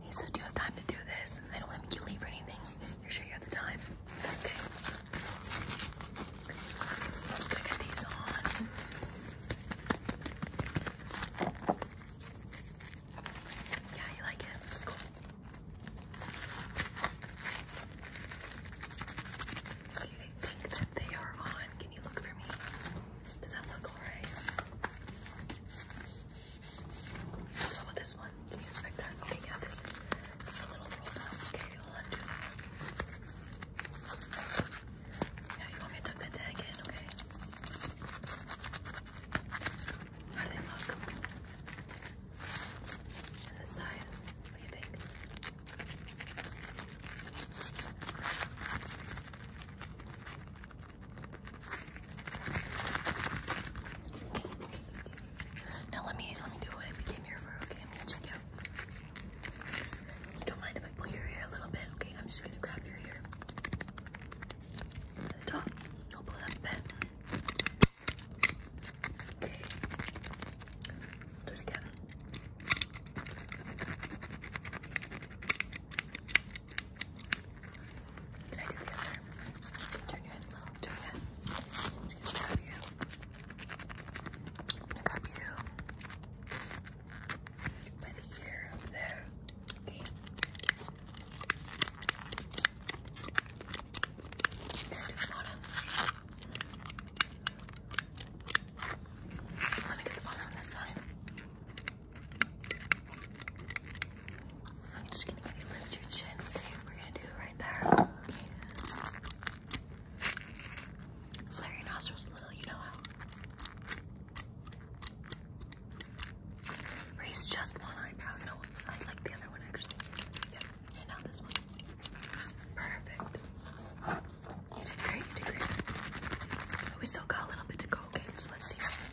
He said, do you have time to do this? I don't want you to leave or anything. You're sure you have the time? Okay. I'm gonna get these on. Yeah, you like it? Cool. Okay, I think that they are on. Can you look for me? Does that look alright? How about this one? Can you expect that? Okay, yeah, this is it's a little rolled up. Okay, I'll undo that. Yeah, you want me to tuck that tag in, okay? How do they look? And this side, what do you think? Now let me let me do what I came here for. Okay, I'm gonna check out. don't mind if I pull your hair a little bit? Okay, I'm just gonna grab your hair. At the top, I'll pull it up a Okay. Do it again. Can I do the other? Turn your head a little. Turn your head. I'm gonna grab you. I'm gonna grab you by the ear up there. Okay. Let's do the bottom. Let me get the bottom on this side. I'm just gonna give you lift your chin, okay? We're gonna do it right there. Okay. nostrils a little, you know how. Raise just one eyebrow, no one like the other one actually. Yep, and this one. Perfect. You did great, we still got a little bit to go, okay? So let's see.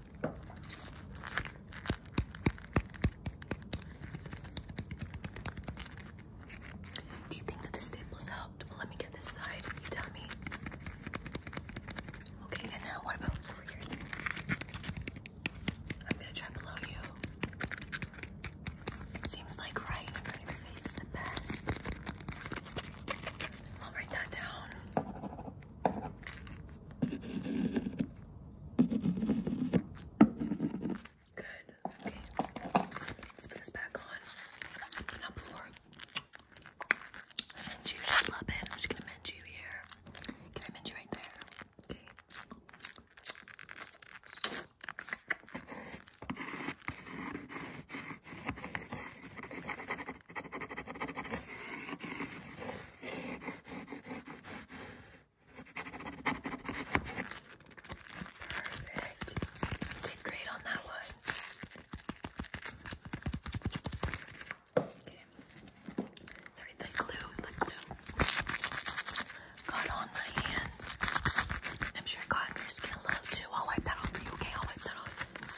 Do you think that the staples helped? let me get this side. You tell Okay, and now what about here? I'm gonna try below you. seems like right in front of your face is the best. I'll write that down. Good. Okay. Let's put this back on. But not before I mend you just a little bit. I'm just gonna mend you here. Can I mend you right there? Okay. Perfect. Did great on that one. Okay. Sorry, the glue, the glue got on my hands. I'm sure it got on your skin a little too. I'll wipe that off for you, okay? I'll wipe that off.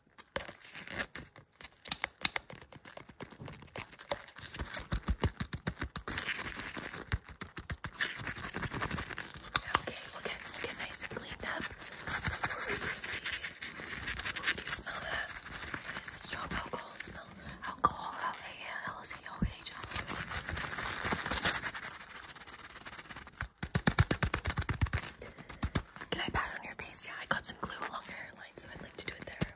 Okay, we'll get, we'll get nice and cleaned up before we proceed. Ooh, do you smell that? What is the strong alcohol smell? Alcohol, L-A-L-C-O-H. Can I pat on your face? Yeah, I got some glue along the hairline, so I'd like to do it there.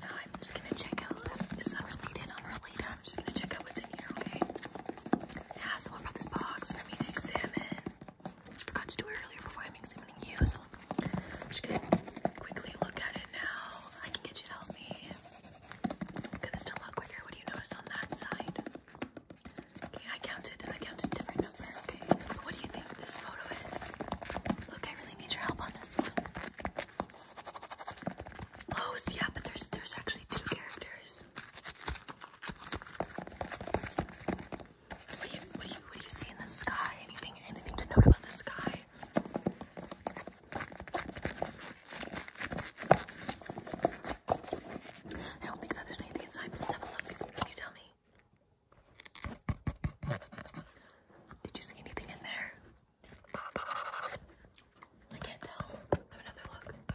Now I'm just gonna check out. It's not related, unrelated. I'm just gonna check out what's in here, okay? Yeah, so what this box for me to examine? Got to do it earlier before I'm examining you, so I'm just gonna quickly look at it now. I can get you to help me. Get this done a lot quicker. What do you notice on that side? Okay, I counted. I counted different number. Okay, what do you think this photo is? Look, I really need your help on this one. Oh, yeah, but there's there's actually two characters. What do you, see in the sky? Anything, anything to note about the sky? I don't think there's anything inside, let's have a look. Can you tell me? Did you see anything in there? I can't tell. another look.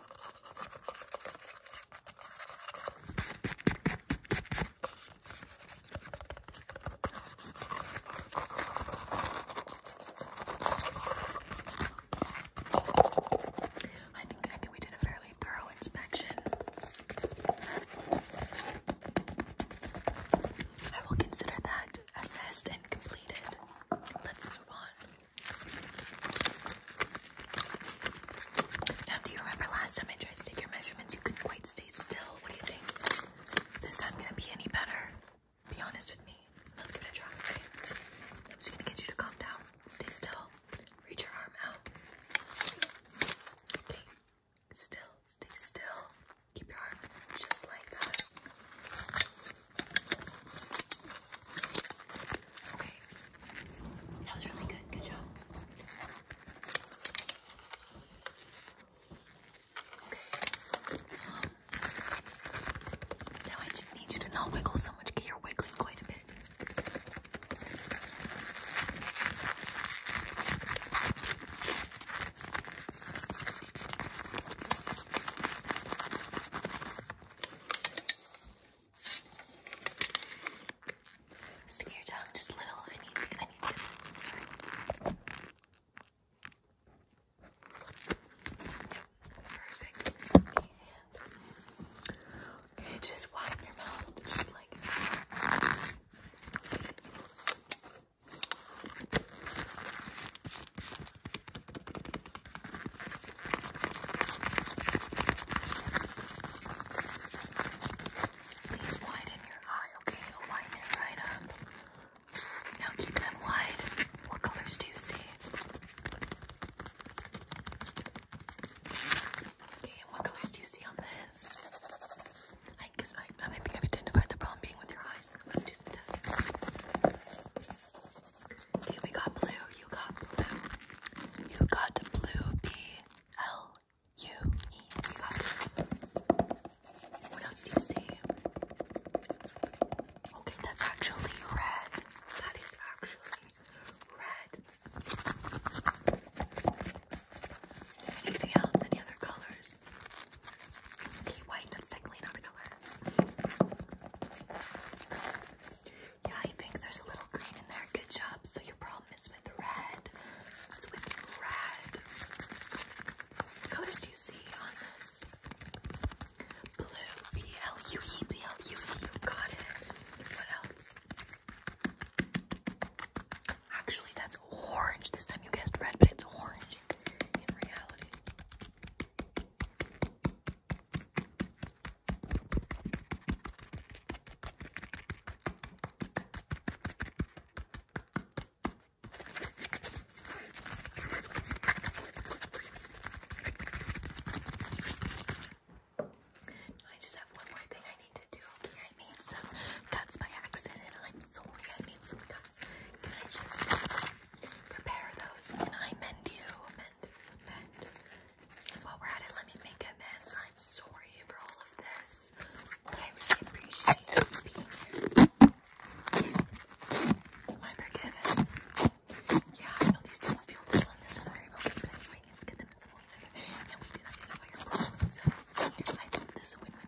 I think I think we did a fairly thorough inspection. I will consider that assessed and completed. Let's move on. Now, do you remember last time I tried to take your measurements? You couldn't quite stay still. What do you think? this time gonna be any better? Be honest with me. Let's give it a try. I'm just gonna get you to calm down. Stay still. Reach your arm out. Okay. Still. Stay still. Keep your arm just like that. That was really good. Good job. now I just need you to not wiggle so much. You're wiggling quite a bit. Stick your tongue just a little. I need, I need to. Perfect. Okay, just widen your mouth, just like. Please widen your eye, okay? widen it right up. Now keep them wide. What colors do you see? Okay, and what colors do you see on this? I think I've identified the problem being with your eyes. Okay, we got blue. You got blue. You got blue. B L U E. You got blue. What else do you see? Okay, that's actually red. That is actually red. Anything else? Any other colors? Okay, white, that's technically not a color. Yeah, I think there's a little green in there. Good job. So your problem is with red. It's with red. colors do you see on this? Blue. B-L-U-E. B-L-U-E. You got it. What else? Actually, that's orange. This time you guessed red, but it's orange in reality. I just have one more thing I need to do. Okay, I made some cuts by accident. I'm sorry I made some cuts. Can I just prepare those? Can I mend you? while we're at it, let me make amends. I'm sorry for all of this, but I really appreciate you being here. I'm forgiven. Yeah, I know these dudes feel good on but anyway, let's get them in some way. And we did not get your problem, I think this is a win win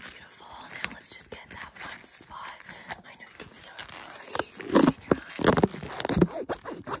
Beautiful. Now let's just get that one spot. I know you can feel it already in your eyes.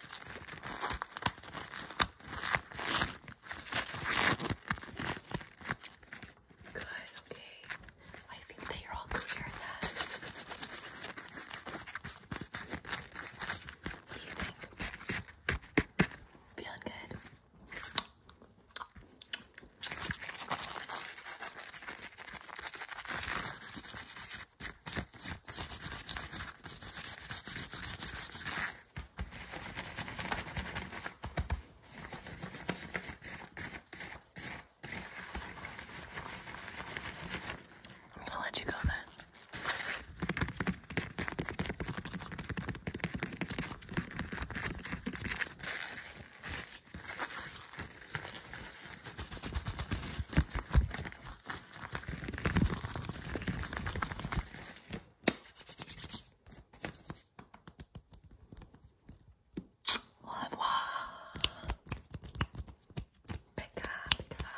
Good, okay. I think that you're all clear then. Feeling good? I'm gonna let you go then. Au revoir. Becca, Becca.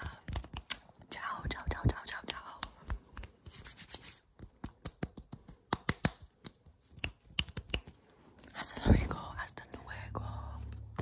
Ciao, ciao, ciao, ciao, ciao, ciao. Hasta luego, hasta luego.